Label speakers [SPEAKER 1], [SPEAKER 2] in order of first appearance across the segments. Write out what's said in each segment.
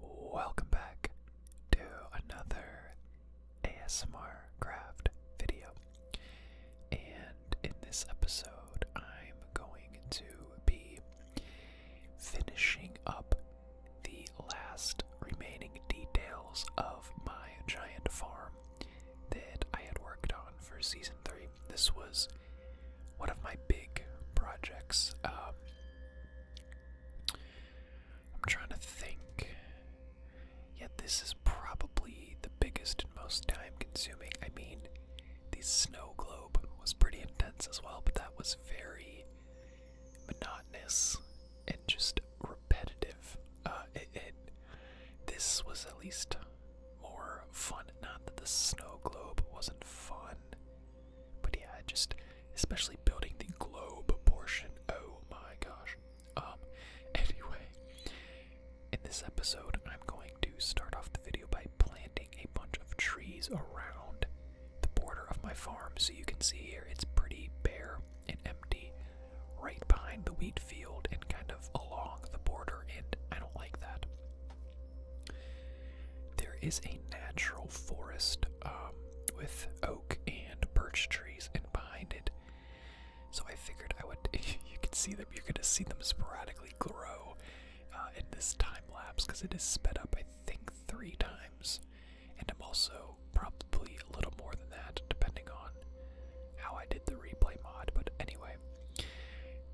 [SPEAKER 1] Welcome back to another ASMR craft video. And in this episode, I'm going to be finishing up the last remaining details of my giant farm that I had worked on for season 3. This was one of my big projects. Um, I'm trying to think. Yet this is probably the biggest and most time consuming. I mean, the snow globe was pretty intense as well, but that was very monotonous and just repetitive. Uh, it, it this was at least more fun. Not that the snow globe wasn't fun, but yeah, just especially building the globe portion. Oh my gosh. Um, anyway, in this episode, I'm going to start off the video by planting a bunch of trees around the border of my farm. So you can see here, it's pretty bare and empty right behind the wheat field and kind of along the border, and I don't like that. There is a natural forest um, with oak and birch trees, and behind it. So I figured I would. you can see them. You're gonna see them sporadically grow uh, in this time lapse because it is sped up. I think three times, and I'm also probably a little more than that, depending on how I did the replay mod. But anyway,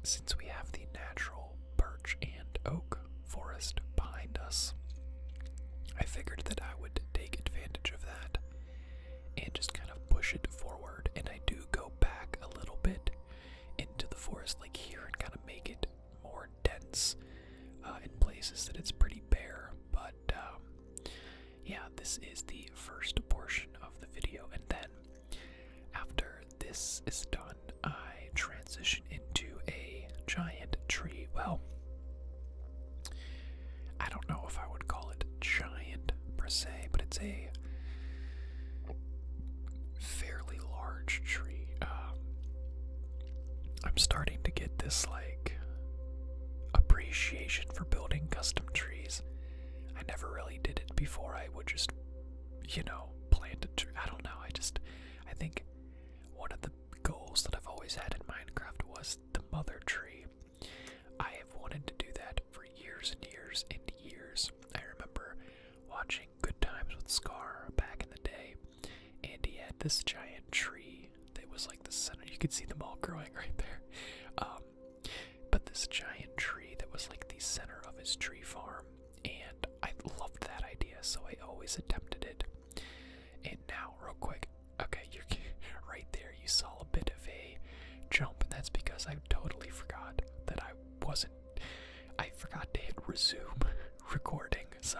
[SPEAKER 1] since we have the natural birch and oak forest behind us. I figured that I would take advantage of that and just kind of push it forward. And I do go back a little bit into the forest, like here, and kind of make it more dense uh, in places that it's pretty bare. But um, yeah, this is the first portion of the video. And then after this is done, I transition into a giant tree. Well, I don't know if I would call it giant per se, but it's a fairly large tree. Um, I'm starting to get this like appreciation for building custom trees. I never really did it before. I would just, you know, plant a tree. I don't know. I just, I think one of the goals that I've always had in Minecraft was the mother tree. I have wanted to do that for years and years and years. I remember watching Good Times with Scar back in the day, and he had this giant tree that was like the center. You could see them all growing right there. Um, but this giant tree that was like the center of his tree farm, and I loved that idea, so I always attempted it. And now, real quick, okay, you're right there. You saw a bit of a jump, and that's because I totally forgot that I wasn't. I forgot to hit resume recording, so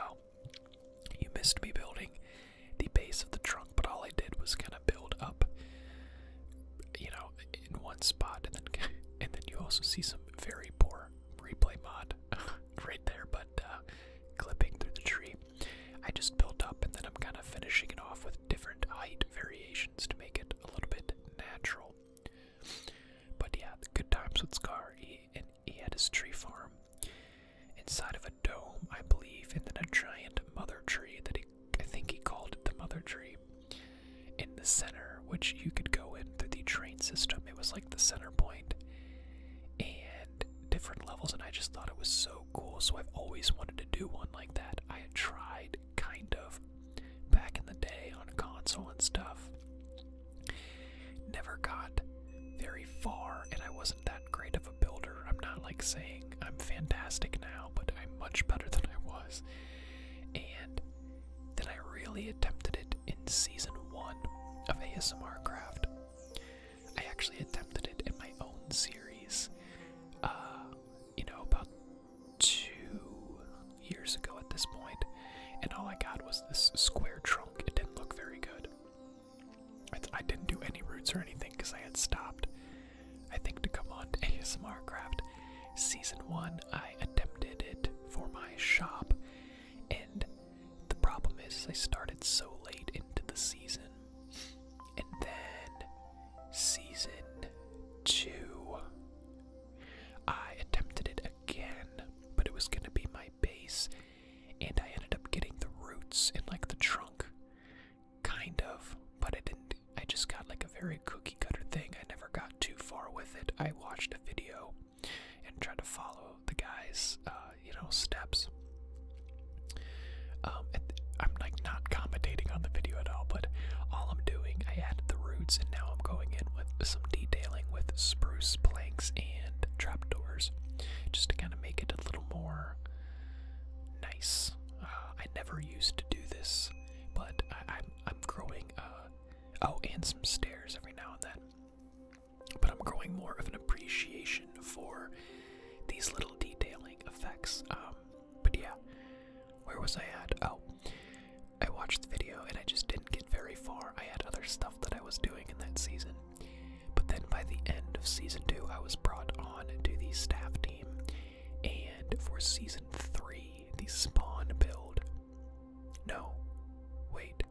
[SPEAKER 1] you missed me building the base of the trunk. But all I did was kind of build up, you know, in one spot, and then and then you also see some very poor replay mod right there. But uh, clipping through the tree. I just built up and then I'm kind of finishing it off with different height variations to make it a little bit natural. But yeah, good times with Scar. He, and he had his tree farm inside of a dome, I believe, and then a giant mother tree that he, I think he called it the mother tree in the center, which you could go in through the train system. It was like the center point and different levels and I just thought it was so cool so I've always wanted to do one like that. I had tried kind of back in the day on console and stuff. Never got very far and I wasn't that great of a builder. I'm not like saying I'm fantastic now, but I'm much better than I was. And then I really attempted it in season 1 of ASMR Craft I actually attempted it in my own series, uh, you know, about two years ago at this point, and all I got was this square trunk. It didn't look very good. I, didn't do any roots or anything because I had stopped. I think to come on to ASMR Craft Season 1, I attempted it for my shop, and the problem is I started so late into the season. And then season 2 I attempted it again, but it was going to be my base and I ended up getting the roots and like the trunk kind of, but I didn't I just got like a very cookie cutter thing. I never got too far with it. I watched a video and try to follow the guy's, uh, you know, steps. Um, I'm like not commentating on the video at all, but all I'm doing, I added the roots, and now I'm going in with some detailing with spruce planks and trapdoors, just to kind of make it a little more nice. Uh, I never used to do this, but I, am I'm growing. Uh, oh, and some stairs every now and then but I'm growing more of an appreciation for these little detailing effects. Um, but yeah, where was I at? Oh, I watched the video and I just didn't get very far. I had other stuff that I was doing in that season. But then by the end of season two, I was brought on to the staff team. And for season three, the spawn build. No, wait,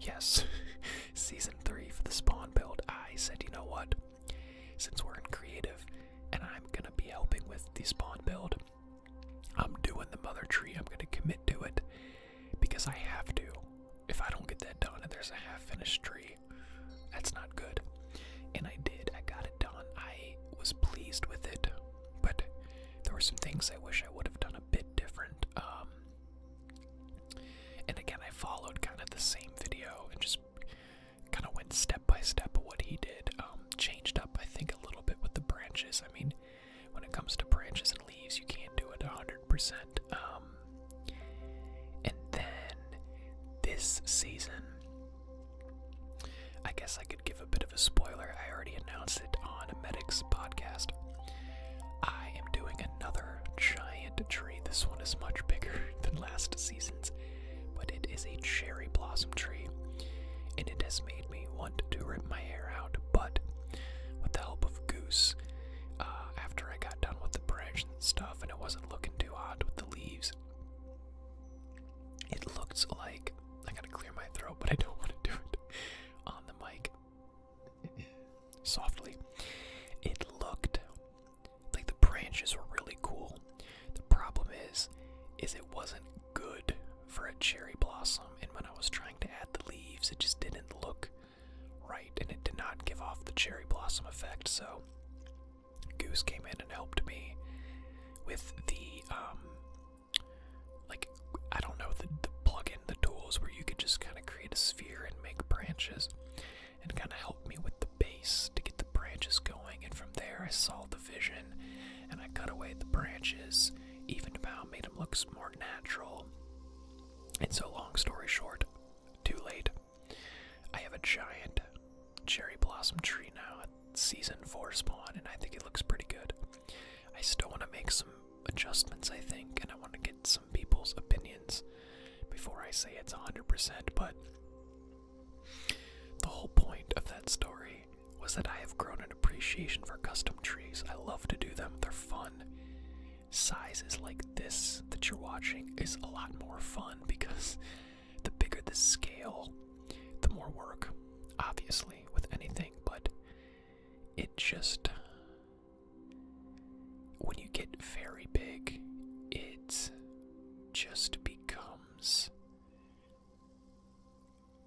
[SPEAKER 1] Yes, season three for the spawn build. I said, you know what? Since we're in creative and I'm gonna be helping with the spawn build, I'm doing the mother tree. I'm gonna commit to it because I have to. If I don't get that done and there's a half finished tree, that's not good. And I did, I got it done. I was pleased with it, but there were some things I wish I would have done a bit different. Um, and again, I followed kind of the same video and just kind of went step by step of what he did. Um, changed up, I think, a little bit with the branches. I mean, when it comes to branches and leaves, you can't do it 100%. Um, and then this season, I guess I could give a bit of a spoiler. I already announced it on a Medics podcast. I am doing another giant tree. This one is much bigger than last season's, but it is a cherry blossom tree, and it has made me want to rip my hair out. But with the help of Goose, uh, after I got done with the branch and stuff, and it wasn't looking too hot with the leaves, it looks like I gotta clear my throat, but I don't want to do it on the mic softly. It looked like the branches were really cool. The problem is, is it wasn't good for a cherry blossom, and when I was trying to add the leaves, it just didn't look right, and it did not give off the cherry blossom effect. So Goose came in and helped me with the um, like I don't know the plugin the tools where you could just kind of create a sphere and make branches and kind of help me with the base to get the branches going and from there i saw the vision and i cut away the branches evened them out made them look more natural and so long story short too late i have a giant cherry blossom tree now at season 4 spawn and i think it looks pretty good i still want to make some adjustments, I think, and I want to get some people's opinions before I say it's 100%. But the whole point of that story was that I have grown an appreciation for custom trees. I love to do them, they're fun. Sizes like this that you're watching is a lot more fun because the bigger the scale, the more work, obviously, with anything, but it just when you get very big, it just becomes.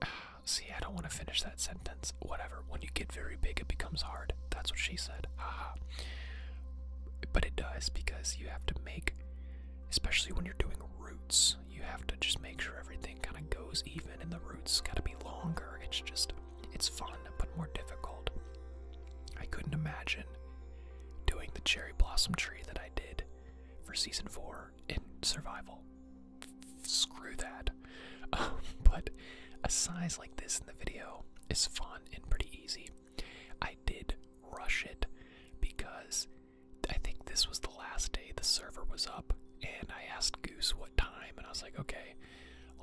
[SPEAKER 1] See, I don't want to finish that sentence. Whatever. When you get very big, it becomes hard. That's what she said. But it does because you have to make, especially when you're doing roots, you have to just make sure everything kind of goes even and the roots got to be longer. It's just it's fun, but more difficult. I couldn't imagine doing the cherry blossom tree that I did for season four in survival. Screw that. Um, but a size like this in the video is fun and pretty easy. I did rush it because I think this was the last day the server was up, and I asked Goose what time and I was like, okay,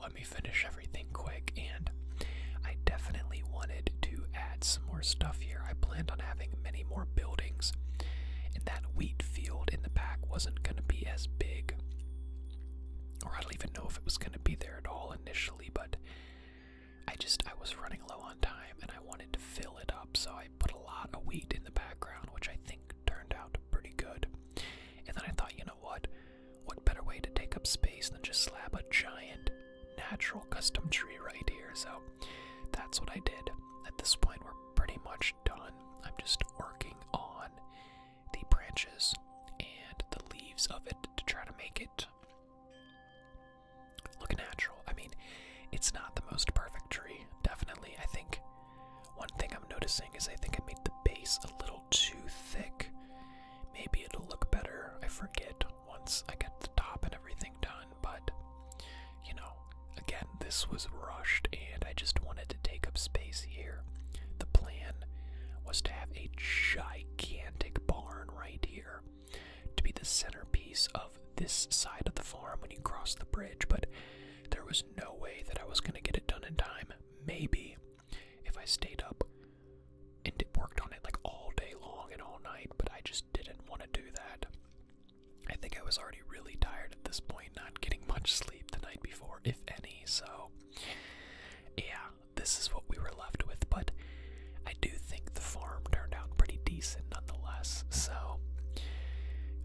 [SPEAKER 1] let me finish everything quick and I definitely wanted to add some more stuff here. I planned on having many more buildings and that wheat field in the back wasn't gonna be as big. Or I don't even know if it was gonna be there at all initially, but I just I was running low on time and I wanted to fill it up, so I put a lot of wheat in the background, which I think turned out pretty good. And then I thought, you know what? What better way to take up space than just slap a giant natural custom tree right here? So that's what I did. At this point, we're pretty much done. I'm just working on the branches and the leaves of it to try to make it look natural. I mean, it's not the most perfect tree, definitely. I think one thing I'm noticing is I think I made the base a little too thick. Maybe it'll look better, I forget, once I get the top and everything done, but you know, again, this was rushed and I just wanted to take up space here. The plan was to have a gigantic barn right here to be the centerpiece of this side of the farm when you cross the bridge, but there was no way that I was going to get it done in time. Maybe if I stayed up and worked on it like all day long and all night, but I just didn't want to do that. I think I was already really tired at this point, not getting much sleep the night before, if any, so yeah, this is what we were left with, but I do think the farm turned out pretty decent nonetheless, so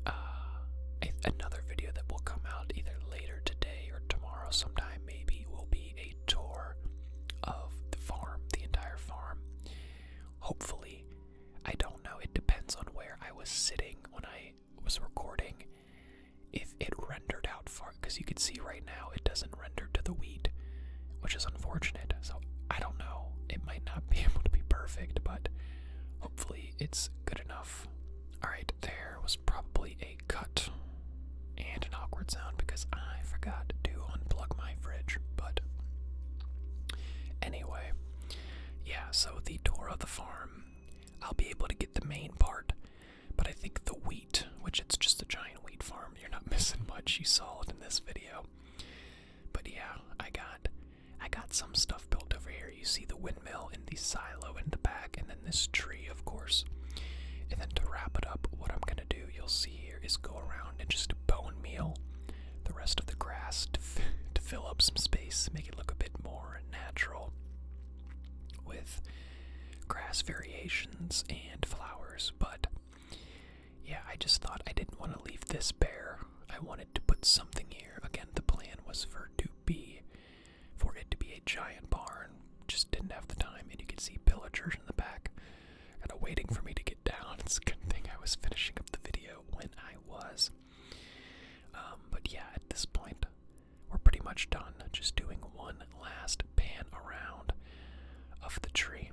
[SPEAKER 1] uh, another video that will come out either later today or tomorrow sometime maybe will be a tour of the farm, the entire farm. Hopefully, I don't know, it depends on where I was sitting when I was recording. If it rendered out far, because you can see right now it doesn't render to the wheat, which is unfortunate. So I don't know, it might not be able to be perfect, but hopefully it's good enough. Alright, there was probably a cut and an awkward sound because I forgot to unplug my fridge. But anyway, yeah, so the tour of the farm, I'll be able to get the main part, but I think the wheat, which it's just a giant wheat farm, you're not missing much. You saw it in this video. But yeah, I got I got some stuff built over here. You see the windmill and the silo in the back, and and this tree, of course. And then to wrap it up, what I'm gonna do, you'll see here, is go around and just bone meal the rest of the grass to fill up some space, make it look a bit more natural with grass variations and flowers. But yeah, I just thought I didn't want to leave this bare. I wanted to put something here. Again, the plan was for to be for it to be a giant barn. Just didn't have the time, and you could see villagers in the back, kind of waiting for me to get down. It's a good thing I was finishing up the video when I was. Um, but yeah, at this point, we're pretty much done. Just doing one last pan around of the tree,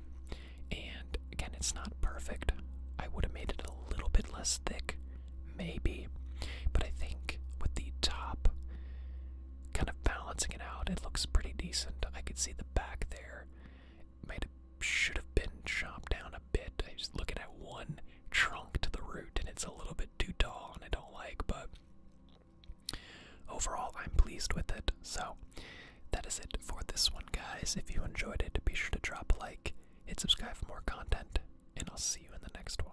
[SPEAKER 1] and again, it's not perfect. I would have made it a little bit less thick, maybe, but I think with the top kind of balancing it out. It looks pretty decent. I could see the back there. It might have should have been chopped down a bit. I'm looking at one trunk to the root, and it's a little bit too tall, and I don't like. But overall, I'm pleased with it. So that is it for this one, guys. If you enjoyed it, be sure to drop a like, hit subscribe for more content, and I'll see you in the next one.